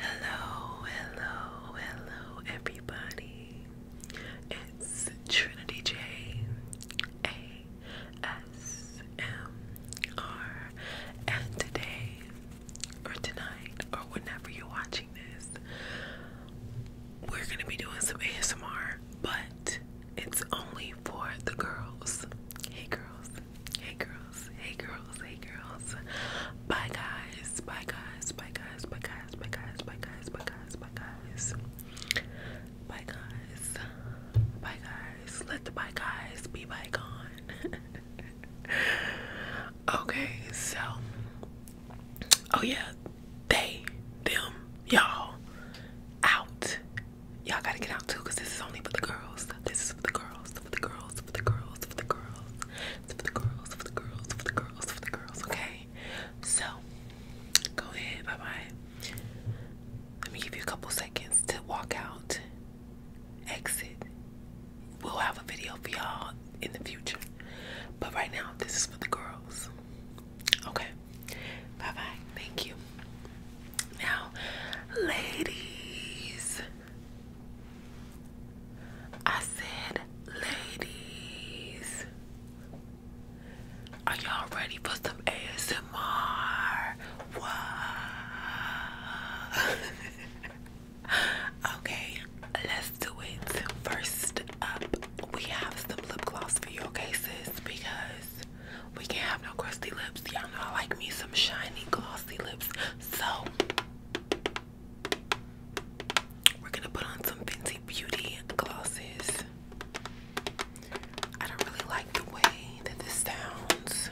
Hello, hello, hello, everybody. It's Trinity J A S M R, and today, or tonight, or whenever you're watching this, we're gonna be doing some ASMR, but it's only for the girls. Hey, girls. Hey girls, hey girls, hey girls. Bye guys, bye guys, bye guys, bye guys, bye guys, bye guys, bye guys, bye guys. Bye guys. Bye guys. Let the bye guys be bygone. okay, so oh yeah, they, them, y'all out. Y'all gotta get out too, cause this is only for the girls. This is for the girls for the girls, for the girls, for the girls, for the girls, for the girls, for the girls, for the girls, okay? So, go ahead, bye bye. Let me give you a couple seconds to walk out, exit. We'll have a video for y'all in the future, but right now, this is for the girls, okay? Bye bye, thank you. Now, ladies, I said, ladies, are y'all ready for some ASMR? okay, let's do it. First up, we have some lip gloss for your cases because we can't have no crusty lips. Y'all know I like me some shiny, glossy lips. So, we're gonna put on some Fenty Beauty glosses. I don't really like the way that this sounds.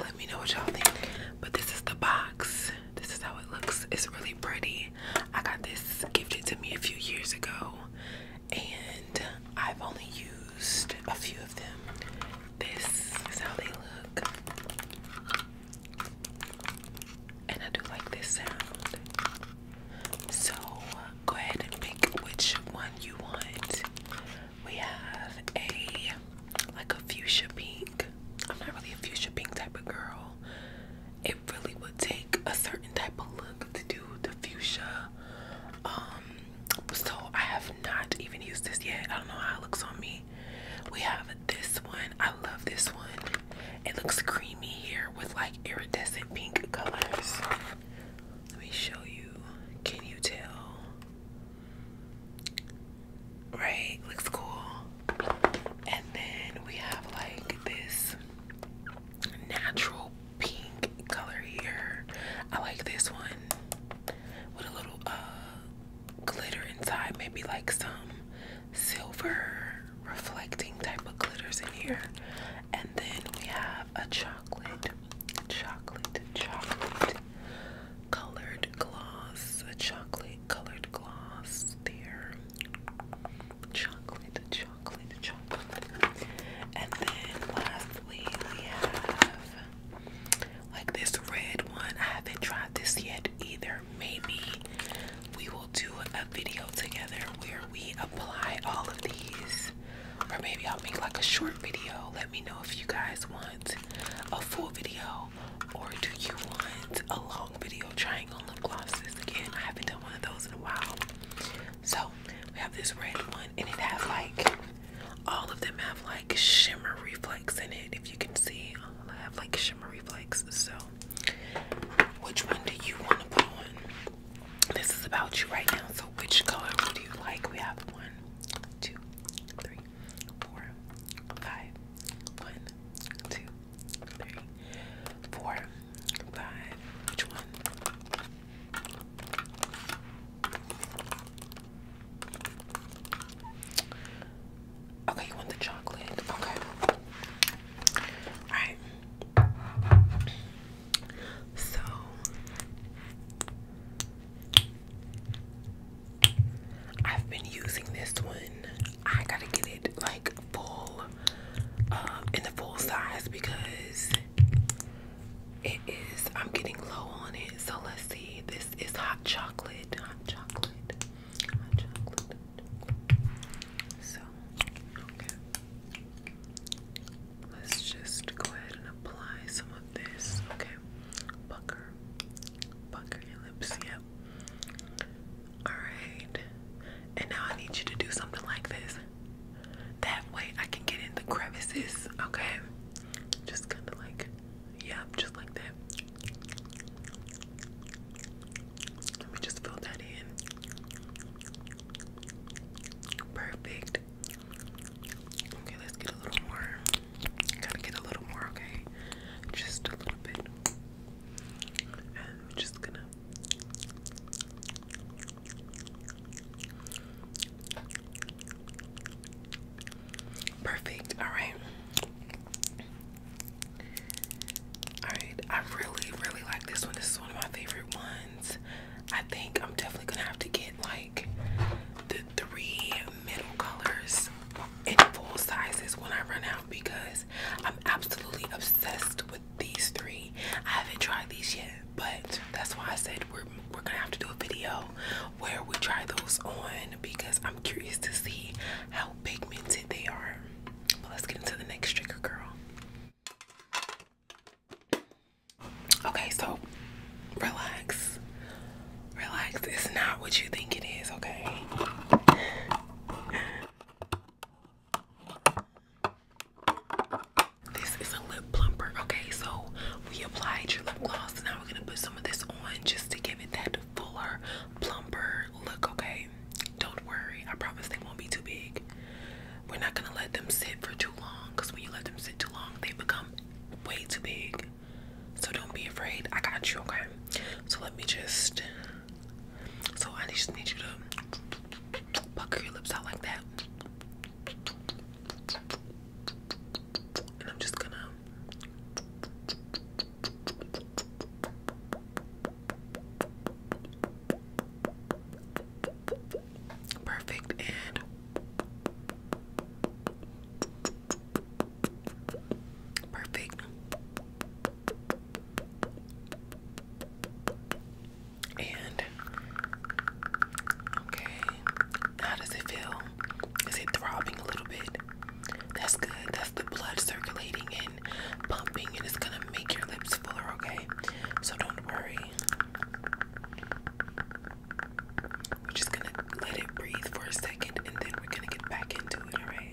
Let me know what y'all think. But this is the box. This is how it looks. It's really pretty. I got this gifted to me a few years ago and I've only used a few of them. This is how they look, and I do like this sound. So go ahead and pick which one you want. We have a like a fuchsia pink. I'm not really a fuchsia pink type of girl. It really would take a certain type of look to do fuchsia. Um, so I have not even used this yet. I don't know how it looks on me. We have this one. I love this one. It looks creamy here with like iridescent pink colors. Let me show you. Can you tell? Right, looks cool. And then we have like this natural pink color here. I like this one with a little uh glitter inside, maybe like some silver reflecting type of glitters in here. And then we have a chocolate, chocolate, chocolate colored gloss, a chocolate colored gloss there. Chocolate, chocolate, chocolate chocolate. And then lastly we have like this red one. I haven't tried this yet either. Maybe we will do a video together where we apply all of these. Or maybe I'll make like a short video. Let me know if you guys want a full video or do you want a long video trying on lip glosses. Again, I haven't done one of those in a while. So we have this red one, and it has like all of them have like shimmer reflex in it. If you can see, all have like shimmer reflex. So, which one do you want to put on? This is about you right now. So, which color would you like? We have one, two, three, four, five, one, two, three, four, Five. Which one? Okay, you want the chocolate. Okay. Alright. So I've been using this one. I gotta get it like full, uh, in the full size because it is, I'm getting low on it. So let's see. This is hot chocolate. Hot chocolate. Hot chocolate. So, okay. Let's just go ahead and apply some of this. Okay. Pucker. Pucker lips. Yep. Alright and now I need you to do something like this. That way I can get in the crevices, okay? Just kind of like, yeah, just like that. Let me just fill that in. Perfect. Okay, let's get a little more. Gotta get a little more, okay? Just a little bit. And we're just gonna Perfect. All right. All right. I really, really like this one. This is one of my favorite ones. I think I'm definitely gonna have to get like the three middle colors in full sizes when I run out because I'm absolutely obsessed with these three. I haven't tried these yet, but that's why I said we're we're gonna have to do a video where we try those on because I'm curious to see how pigmented they are. But let's get into the next trigger, girl. Okay, so relax. Relax. It's not what you think it is, okay? This is a lip plumper. Okay, so we applied your lip gloss. Now we're gonna put some of this on just to give it that fuller, plumper look. Okay, don't worry. I promise they won't be too big. We're not gonna let them sit for too long because when you let them sit too long, they become way too big. So don't be afraid. I got you. Okay, so let me just so I just need you to pucker your lips out like that. And I'm just gonna perfect and perfect and okay, how does it feel? Is it throbbing a little bit? That's good. That's the blood circulating and pumping, and it's gonna make your lips fuller, okay? So don't worry. We're just gonna let it breathe for a second and then we're gonna get back into it, alright?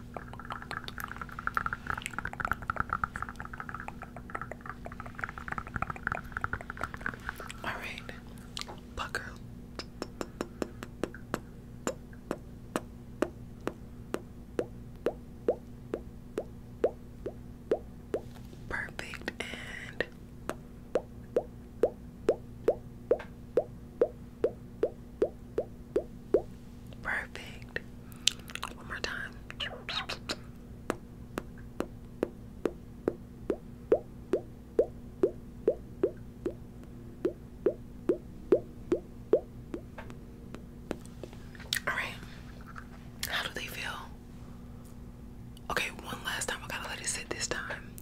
All right, pucker. Perfect and Perfect. One more time. All right. How do they feel? Okay, one last time. I gotta let it sit this time.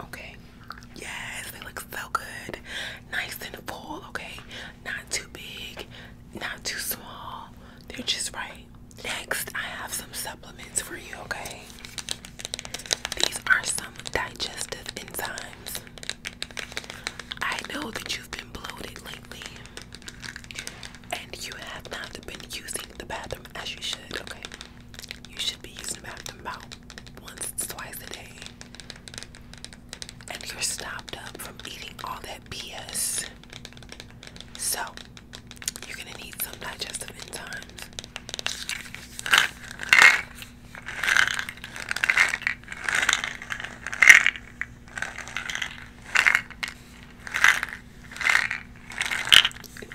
Okay. Yes, they look so good. Nice and full, okay? Not too big, not too small. They're just right. Next, I have some supplements for you, okay? These are some digestive enzymes. I know that you've been bloated lately and you have not been using the bathroom as you should, okay? You should be using the bathroom about once, twice a day. And you're stopped up from eating all that BS. So, you're gonna need some digestive enzymes. It's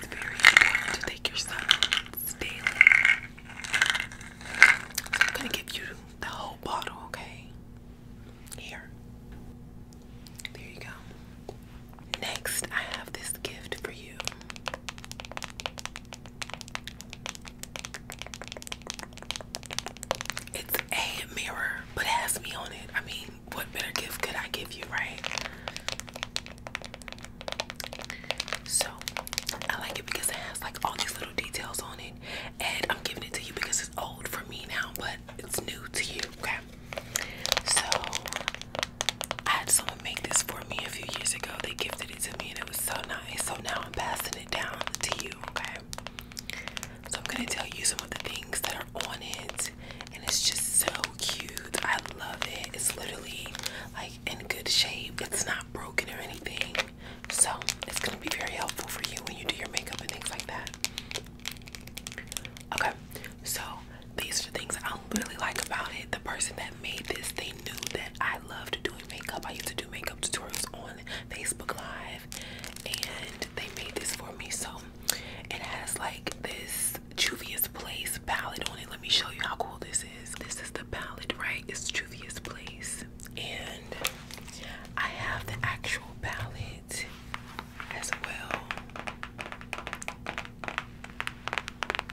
very important to take your supplements I'm gonna give you the whole bottle, okay? Here. There you go. Next, I have this gift for you. It's a mirror, but it has me on it. I mean, what better gift could I give you, right? So, I like it because it has like all these little details on it, and I'm giving it to you because it's old for me now, but it's new to you, okay? So, I had someone make this for me a few years ago. They gifted it to me, and it was so nice. So now I'm passing it down to you, okay? So I'm gonna tell you some of the things that are on it, and it's just so cute. I love it. It's literally like in good shape. It's not broken or anything. So it's gonna be very helpful for you when you do your makeup and things like that. Okay, so these are things I really like about it. The person that that made this, they knew that I loved doing makeup. I used to do makeup tutorials on Facebook Live, and they made this for me. So it has like this Juvia's Place palette on it. Let me show you how cool this is. This is the palette, right? It's Juvia's Place, and I have the actual palette as well.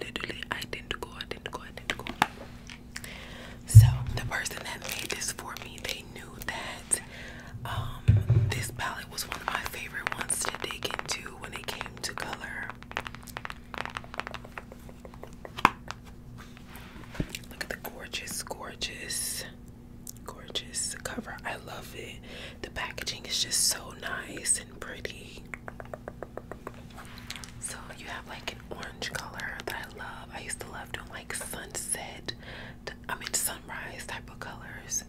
Literally, I didn't So the person that made this for me, they knew that um, this palette was one of my favorite ones to dig into when it came to color. Look at the gorgeous, gorgeous, gorgeous cover. I love it. The packaging is just so nice and pretty. So you have like an orange color that I love. I used to love doing like sunset, I mean sunrise type of colors.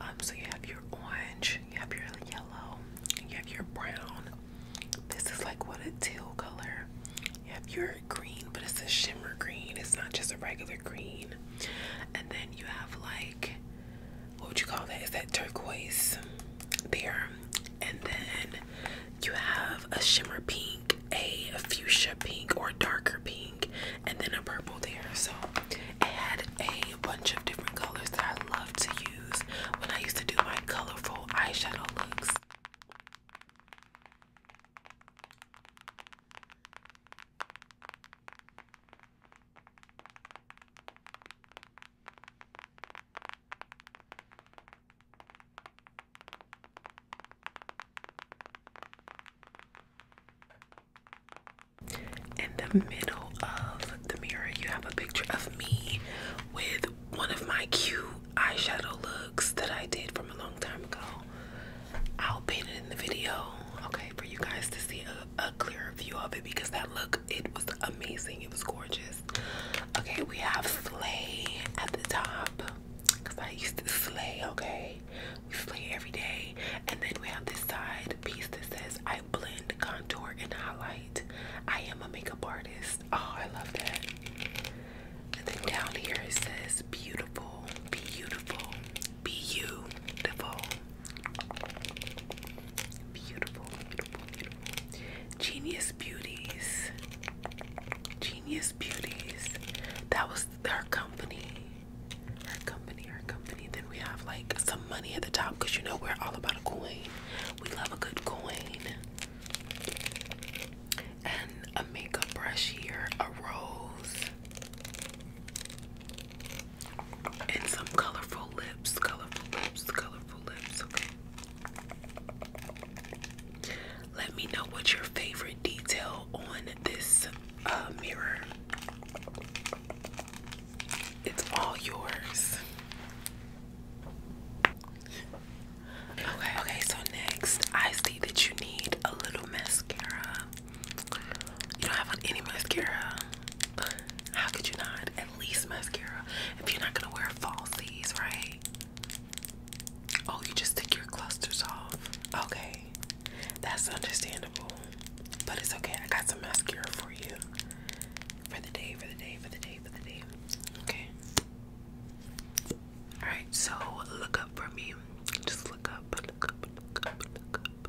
Um, so you have your orange, you have your yellow, you have your brown. This is like what a teal color. You have your green, but it's a shimmer green. It's not just a regular green. And then you have like what would you call that? Is that turquoise there? And then you have a shimmer pink, a fuchsia pink, or darker pink, and then a purple there. So it had a bunch of different colors that I love to use when I used to do my colorful eyeshadow looks. In the middle of the mirror, you have a picture of me with one of my cute eyeshadow looks that I did from a long time ago. I'll paint it in the video, okay, for you guys to see a, clearer view of it because that look, it was amazing. It was gorgeous. Okay, we have Slay at the top because I used to slay, okay? We slay every day. And then we have this side piece that says, I blend, contour, and highlight. I am a makeup artist. Oh, I love that. And then down here it says, beautiful, beautiful, beautiful. Beautiful, beautiful, beautiful. Genius Beauties. Genius Beauties. That was her company. Her company, her company. Then we have like some money at the top because you know we're all about a coin. We love a good coin. And a makeup brush here, a rose. And some colorful lips, colorful lips, colorful lips, okay? Let me know what your favorite detail on this uh, mirror. It's all yours. Okay, okay, so next I see that you need a little mascara. You don't have any mascara. How could you not? At least mascara. If you're not gonna wear falsies, right? Oh, you just take your clusters off. Okay. That's understandable. But it's okay. I got some mascara for you. For the day, for the day, for the day, for the day. Okay. Alright, so look up for me. Just look up, look up, look up, look up.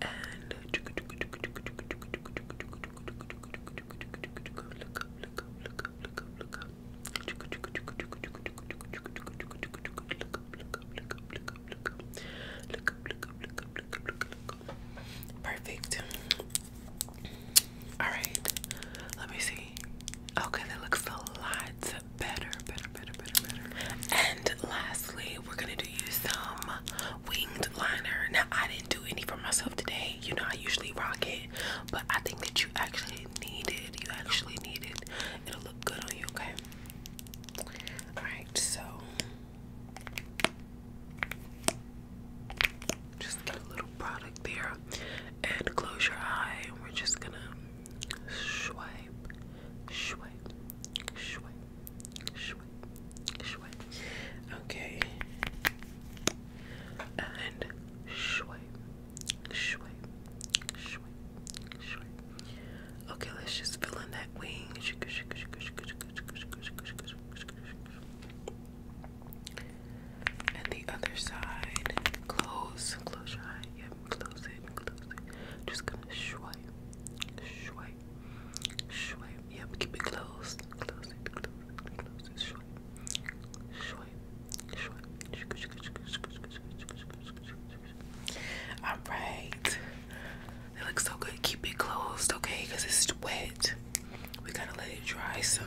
and Perfect. All right. Let me see. Okay, that looks a lot better, better, better, better, better. And lastly, we're gonna do you some winged liner. Now I didn't do any for myself today. You know I usually rock it, but I think that you actually need it. You actually need it. It'll look good on you, okay? Alright, so just get a little product there and close your eye and we're just gonna swipe, swipe, swipe, swipe, okay, and swipe, swipe, swipe, swipe. Okay, let's just fill in that wing. And the other side, close, close your eye. yeah, close it, close it. Just gonna swipe, swipe, swipe, swipe. keep it closed. Close it, close it, close it. Swipe, swipe, All right. It looks so good. Keep it closed, okay? Because it's wet. We gotta let it dry some.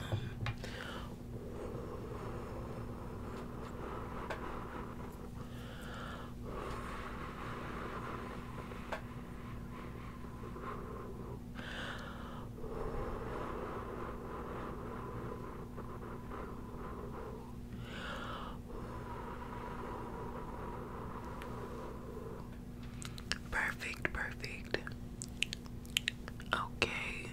Perfect, perfect. Okay.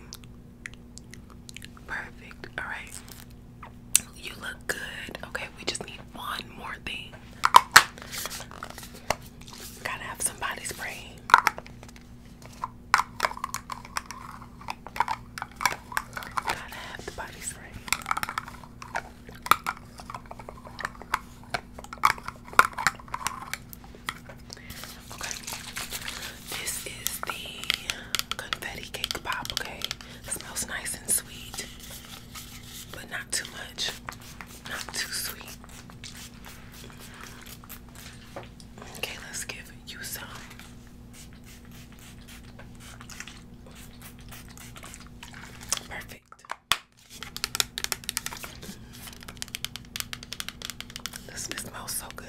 Perfect. All right. You look good. Okay, we just need one more thing. Gotta have some body spray. Gotta have the body spray. Okay, this is the confetti cake pop. Okay, smells nice and sweet but not too much, not too sweet. Okay, let's give you some. Perfect. This smells so good.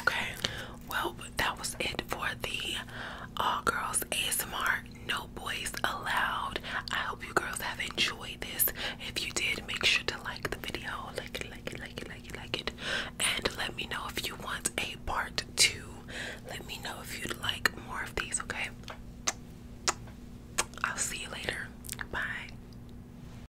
Okay, well, that was it for the All uh, Girls ASMR No Boys Allowed. I hope you girls have enjoyed this. If you did, make sure to like the video, like it, like it, like it, like it, like it, and let me know if you want a part two. Let me know if you'd like more of these, okay? I'll see you later. Bye.